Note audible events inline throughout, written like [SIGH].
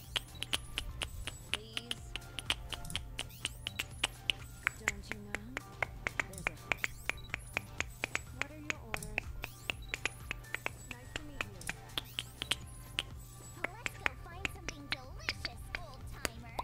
Please. Don't you know? There's a What are your orders? Nice to meet you. Let's go find something delicious, old timer.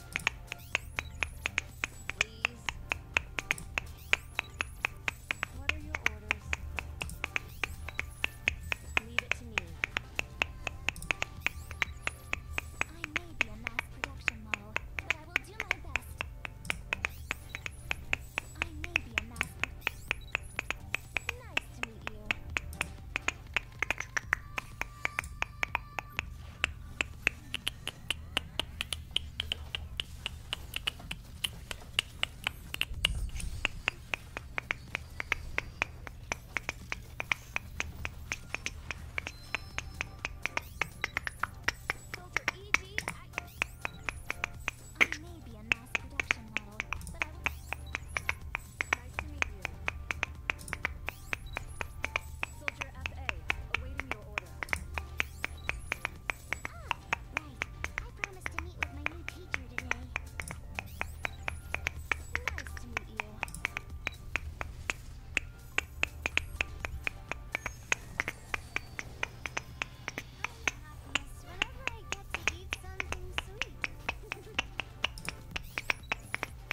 Please. What are your orders? Leave it to me. I may be a mass production model, but I will do my best. I may be a mass Nice to meet you. I may be a mass production model, but I Nice to meet you. Soldier FA, awaiting your order. Ah, right. I promised to meet with my new teacher today. Nice to meet you. Happiness whenever I get to eat something sweet. [LAUGHS]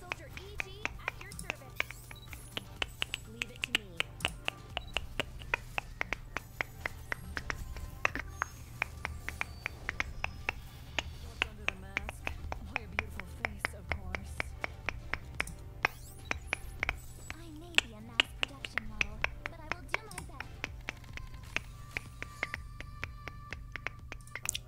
Soldier EG at your service. Leave it to me. What's under the mask? Why a beautiful face, of course. I may be a mass production model, but I will do my best.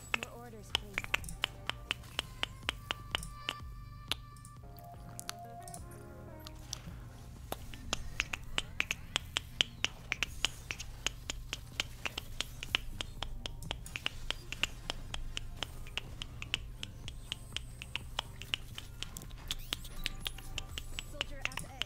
Your orders, please. Soldier at A.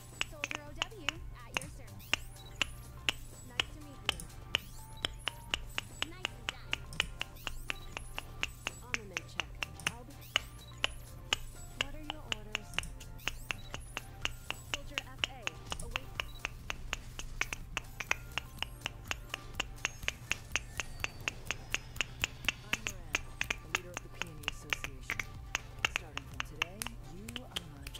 Soldier OW at your service. Nice to meet you. Nice and done. Armament check. What are your orders? Soldier FA, await. I'm leader of the Peony Association. Starting from today, you are my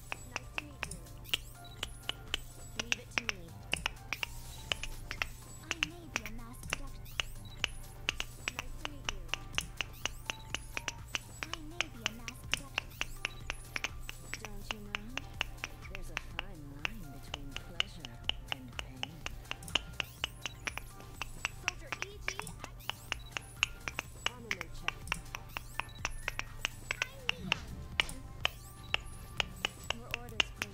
Nice to meet you. Leave it to me. I may be a mass Nice to meet you. I may be a mass Don't you know? There's a fine line between pleasure and pain. Soldier E.G. Armament check. Your orders, please.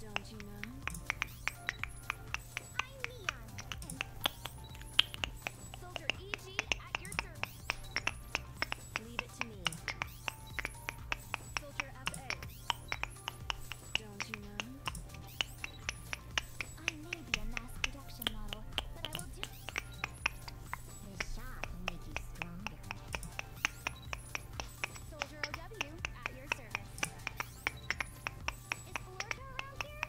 Don't you know? I'm Neon, and Soldier EG at your service. Leave it to me. Soldier FA. Don't you know? I may be a mass production model, but I will do The shot will make you stronger. Soldier OW, at your service. Is Florida around here?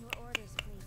Your orders, please.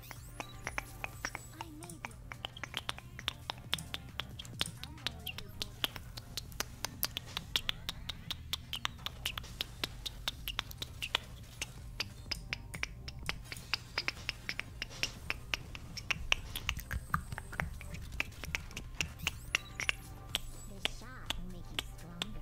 The shot will make you stronger.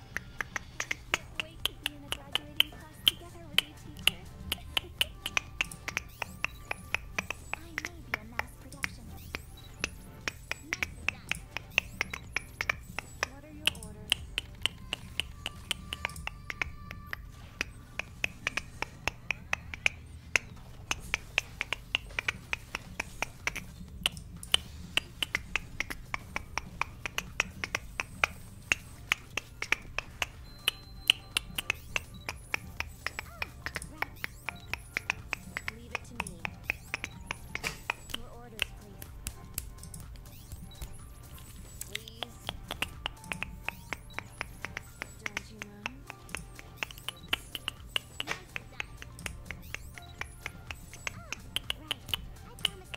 Awake me in a graduating class together with you, teacher. I may be a mass production. What are your orders? Leave it to me. Your orders, please. Please. Don't you mind? Nice design. Ah, right. I promise.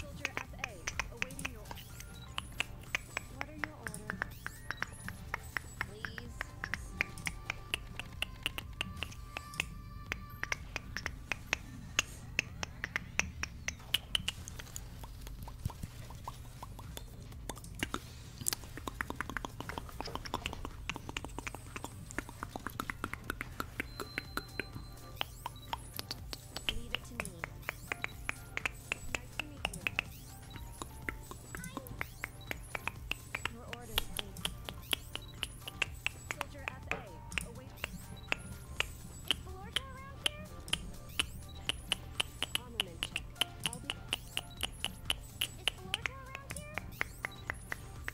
Soldier FA, awaiting your What are your orders? Please. Leave it to me. Your orders, please. Soldier FA, await. Is Valorca around here? Armament check. Is Valorca around here?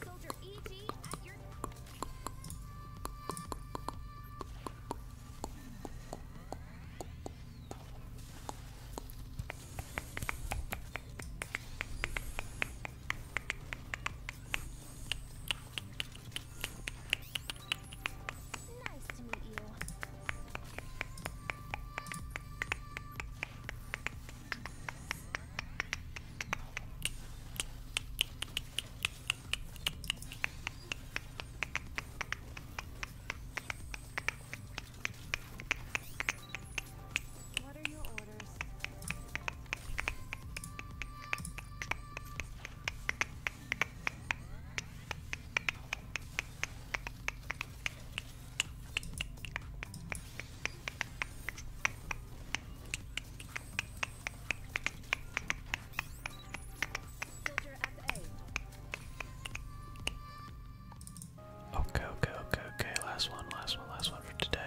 Soldier EG at your Nice to meet you. What are your orders? orders. Okay, okay, okay, okay. Last one, last one, last one for today.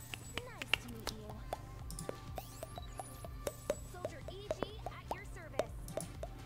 Nice to meet you. Soldier EG at your service. Nice to meet you.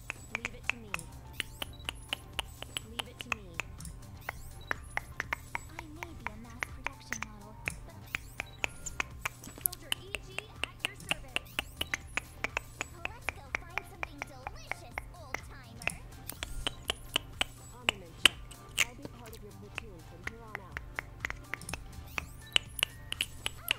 Leave it to me. Leave it to me. I may be a mass production model, but Soldier EG at your service. Let's go find something delicious, old timer. Armament check. I'll be part of your platoon from here on out. Ah,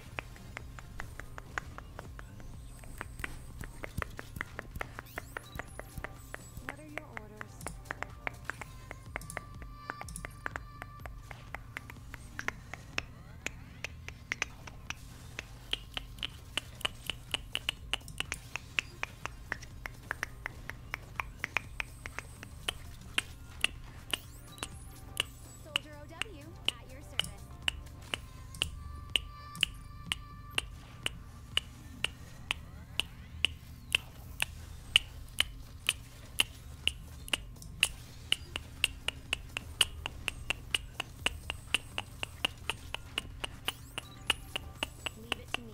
What are your orders? So Soldier OW at your service. Leave it to me.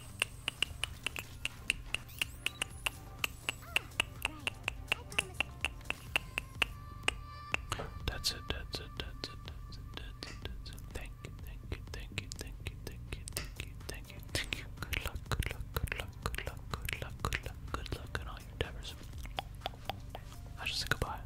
That's it, that's it, that's it, that's it, that's it, that's it. Thank you, thank you, thank you, thank you, thank you, thank you, thank you, Good luck, good luck, good luck, good luck, good luck, good luck, good luck in all your endeavors. I should say goodbye.